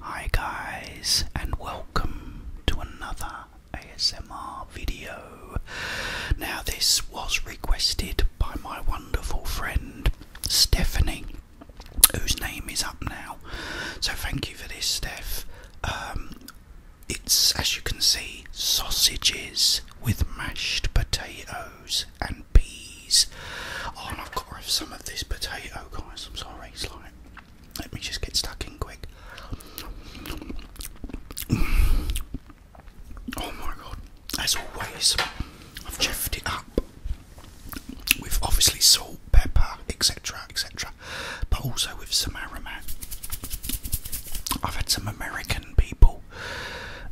Hi guys and welcome to another ASMR video. Now this was requested by my wonderful friend Stephanie whose name is up now. So thank you for this Steph. Um, it's as you can see sausages with mashed potatoes and peas. Oh, I've got some of this potato, guys. I'm sorry, it's like, let me just get stuck in quick. Oh my god, as always, I've cheffed it up We've obviously salt, pepper, etc., etc., but also with some aromat. I've had some American people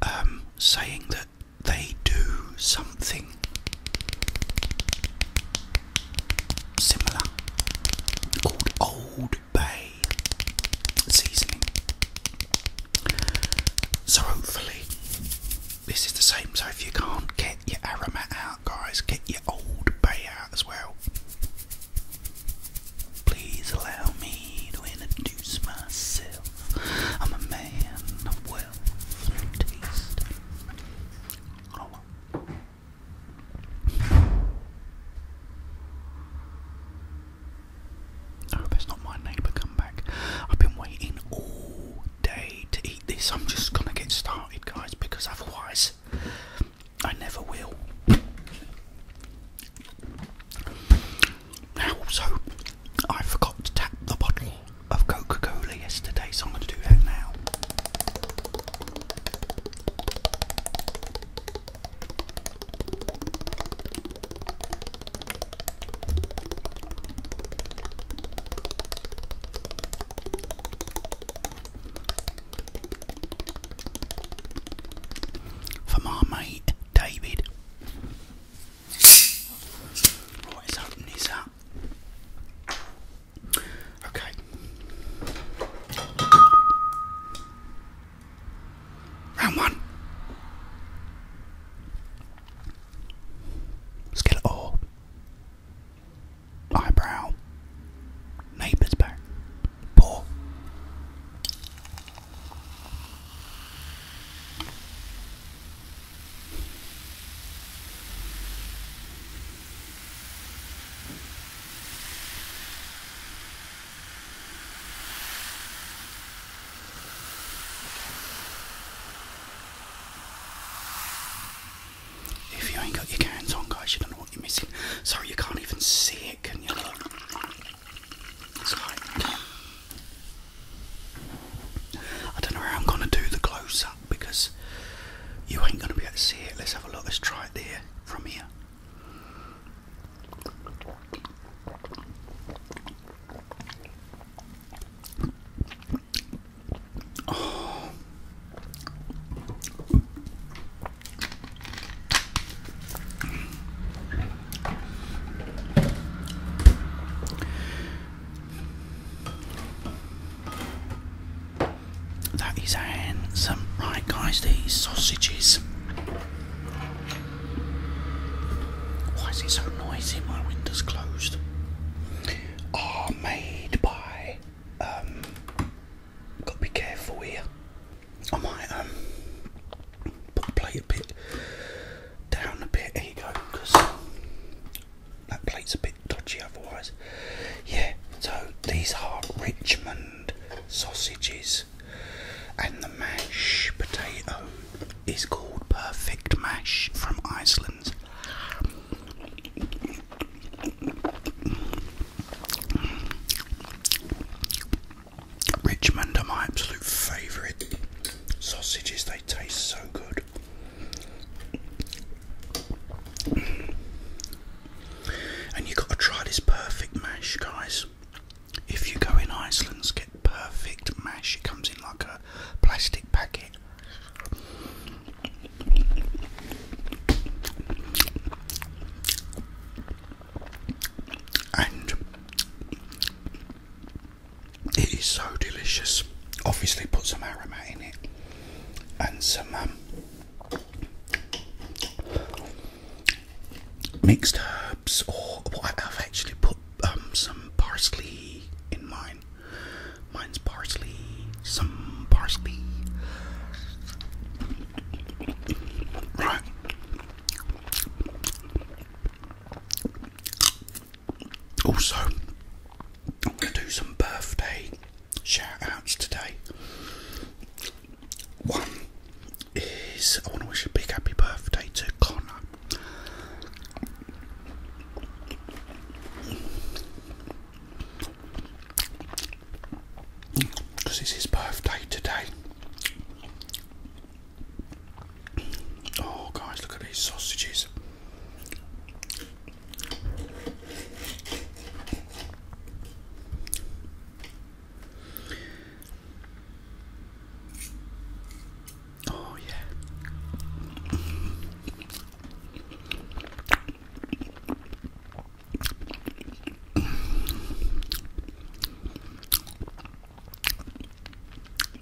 um, saying that they do something similar called Old Bay seasoning. So, hopefully, this is the same. So, if you can't get your aromat out, guys, get your Old Bay out as well. Please allow me to introduce myself. I'm a man of words. I hope it's not my neighbour come back. I've been waiting all day to eat this. I'm just gonna get started, guys, because otherwise I never will. Now, also, I forgot to tap the bottle of Coca Cola yesterday, so I'm going to do that now. For my mate David, what is open is up. Okay. Round one. Let's Eyebrow. Neighbour's back. Paw. If you ain't got your cans on, guys, you don't know what you're missing. Sorry, you can't even see it, can you? Look. I don't know how I'm gonna do the close up because you ain't gonna be able to see it. Let's have a look. Let's try it there from here. That is handsome. Right, guys, these sausages. Why is it so noisy? My window's closed. Are made by. Um, gotta be careful here. I might um, put the plate a bit down a bit. Here you go, because that plate's a bit dodgy otherwise. Yeah, so these are Richmond sausages, and the mash potato is called Perfect Mash from Iceland. Richmond are my absolute favourite sausages, they taste so good. And you gotta try this perfect mash, guys. If you go in Iceland, get perfect mash. It comes in like a plastic packet. And it is so delicious. Obviously, put some aromat in it and some um, mixed herbs, or I've actually put um, some parsley in mine. Mine's parsley, some parsley. Right. Also, I'm going to do some birthday shout outs today. One is I want to wish a big happy birthday to Connor. Because it's his birthday today. Oh, guys, look at these sausages. Oh, yeah.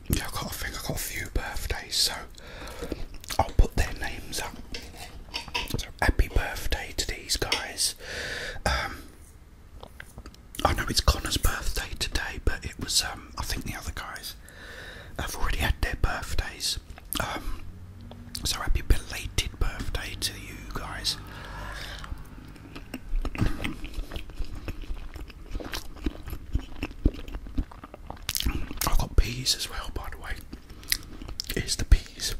Yeah, I've got, think i got a few birthdays, so I'll put their names up. So happy birthday to these guys. Um, I know it's Connor's birthday today, but it was, um, I think the other guys have already had their birthdays. Um, so happy belated birthday to you guys. I have got peas as well, by the way. Here's the peas.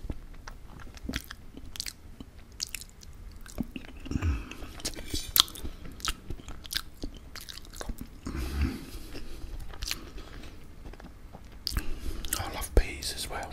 I love peas as well.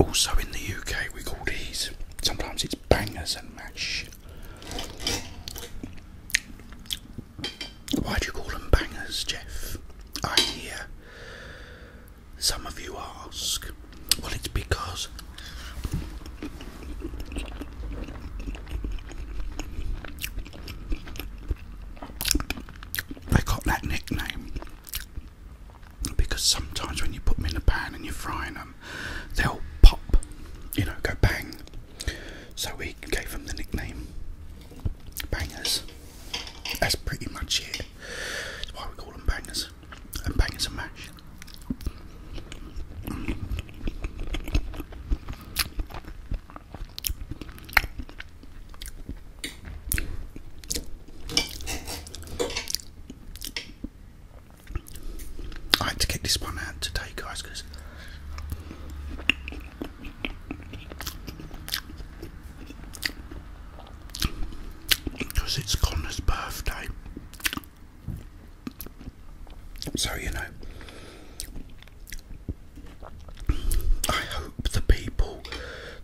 Also in the UK, we call these sometimes it's bangers and mash. Why do you call them bangers, Jeff? I hear some of you ask. Well, it's because they got that nickname because sometimes when you put them in the pan and you're frying them, they'll pop, you know, go bang. So we gave them the nickname Bangers. That's pretty much it. That's why we call them Bangers. And Bangers are Mash. I had to get this one out today, guys, because because it's Connor's birthday. So, you know, I hope the people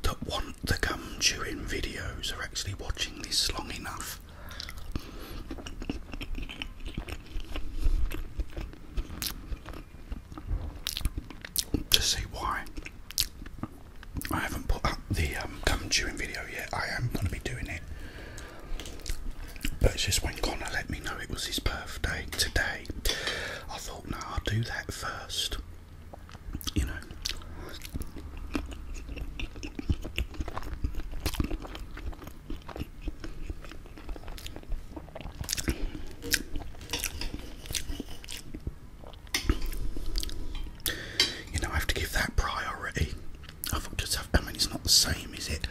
that want the gum chewing videos are actually watching this long enough. To see why I haven't put up the gum chewing video yet, I am going to be doing it but it's just when Connor let me know it was his birthday today, I thought, no, I'll do that first. You know. You know, I have to give that priority. I thought to myself, I mean, it's not the same, is it?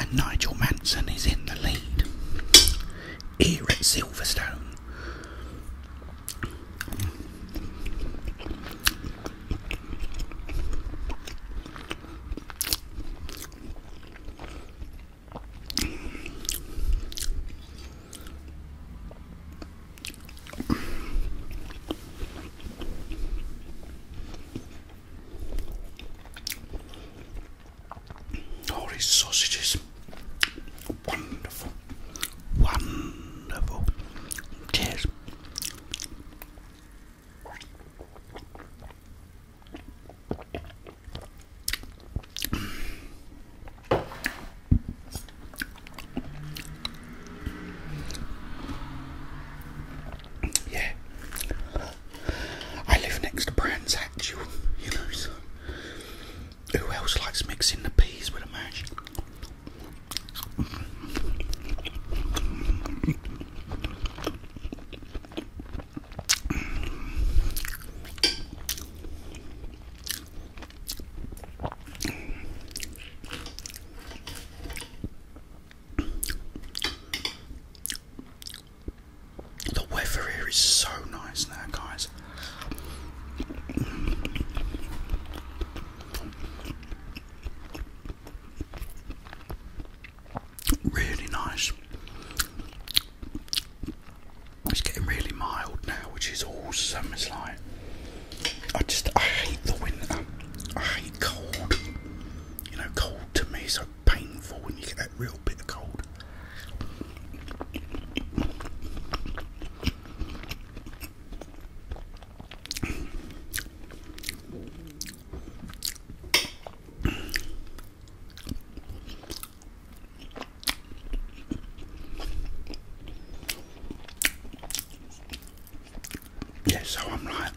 And Nigel Manson is in the lead here at Silverstone. All these sausages, wonderful. Wonderful. Cheers. Yeah, I live next to Brands you know, who else likes mixing the peas with a mash? The weather here is so nice now, guys. Really nice. It's getting really mild now, which is awesome. It's like I just I hate the winter. I hate cold. You know, cold to me is so painful when you get that real bit of cold. Yeah, I'm like,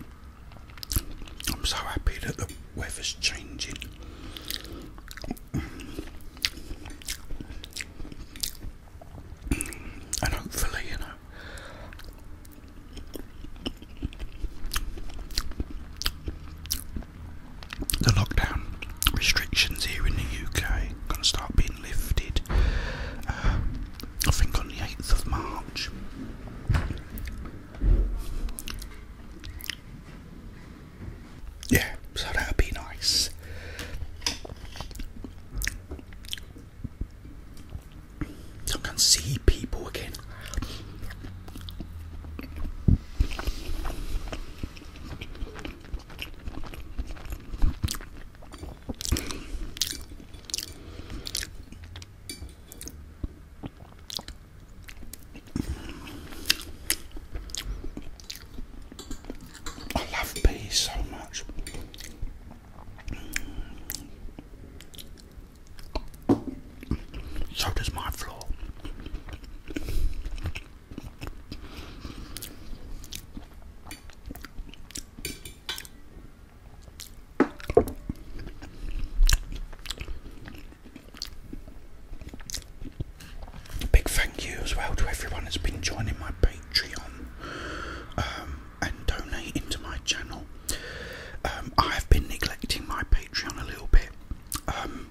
I'm so happy that the weather's changing and hopefully, you know, the lockdown restrictions here in the UK are going to start being lifted. Uh, I think on the 8th of March. Yeah, so that would be nice. I can see people again. I love peas so much. So does my floor. Big thank you as well to everyone that's been joining my page. Patreon um, and donate into my channel. Um, I have been neglecting my Patreon a little bit. Um,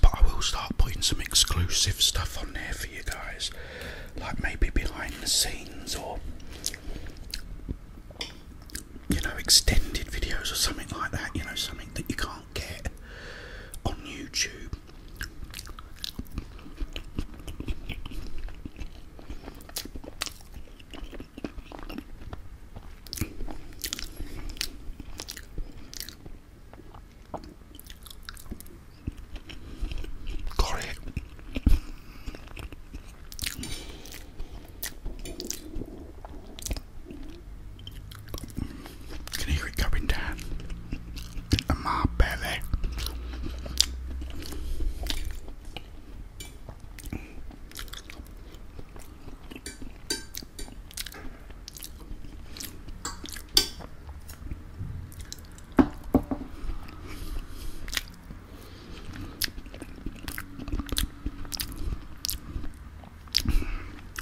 but I will start putting some exclusive stuff on there for you guys, like maybe behind the scenes or you know, extended videos or something like that, you know, something that you can't get on YouTube. Got it. Can you it going down my belly.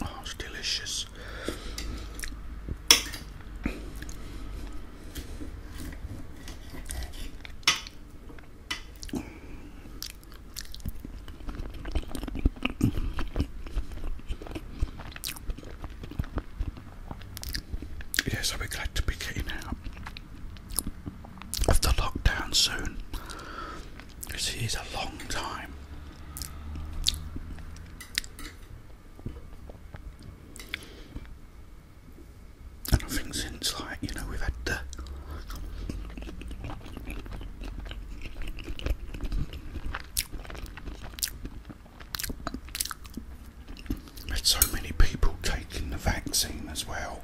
Oh, it's delicious. Yes, I'll glad to be getting out of the lockdown soon. Because it is a long time. And I think since, like, you know, we've had the there's so many people taking the vaccine as well.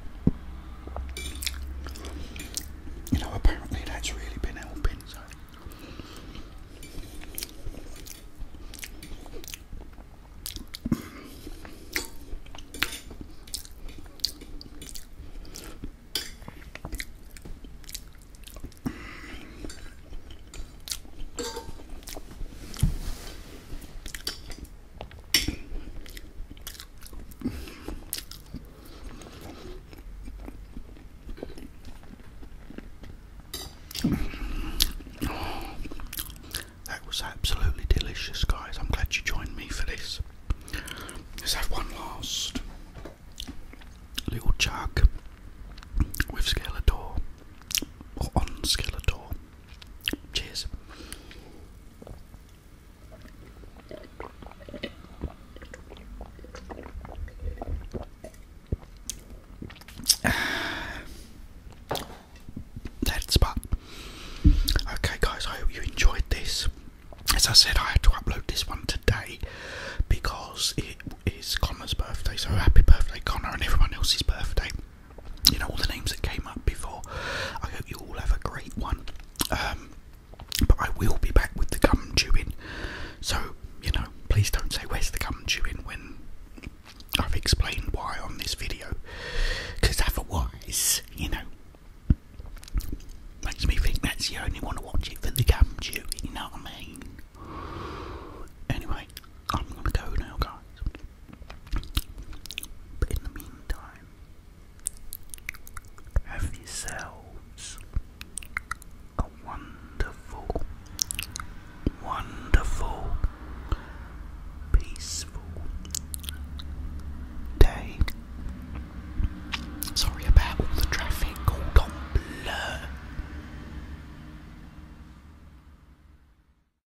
You know, apparently that's really been helping. That was absolutely delicious, guys. I'm glad you joined me for this. Let's have one last little chug with Skeletor or on Skeletor. Cheers. Dead spot. Okay, guys, I hope you enjoyed this. As I said, I had to upload this one today because it is Connor's birthday, so happy birthday, Connor, and everyone else's birthday you know all the names that came up before. I hope you all have a great one. Um, but I will be back with the gum chewing, so you know please don't say where's the gum chewing when I've explained why on this video, because otherwise you know makes me think that's the only one to watch it for the gum chewing. You know what I mean? Anyway, I'm gonna go now, guys. But in the meantime, have yourselves a wonderful, wonderful, peaceful day. Sorry about all the traffic, hold on, blur.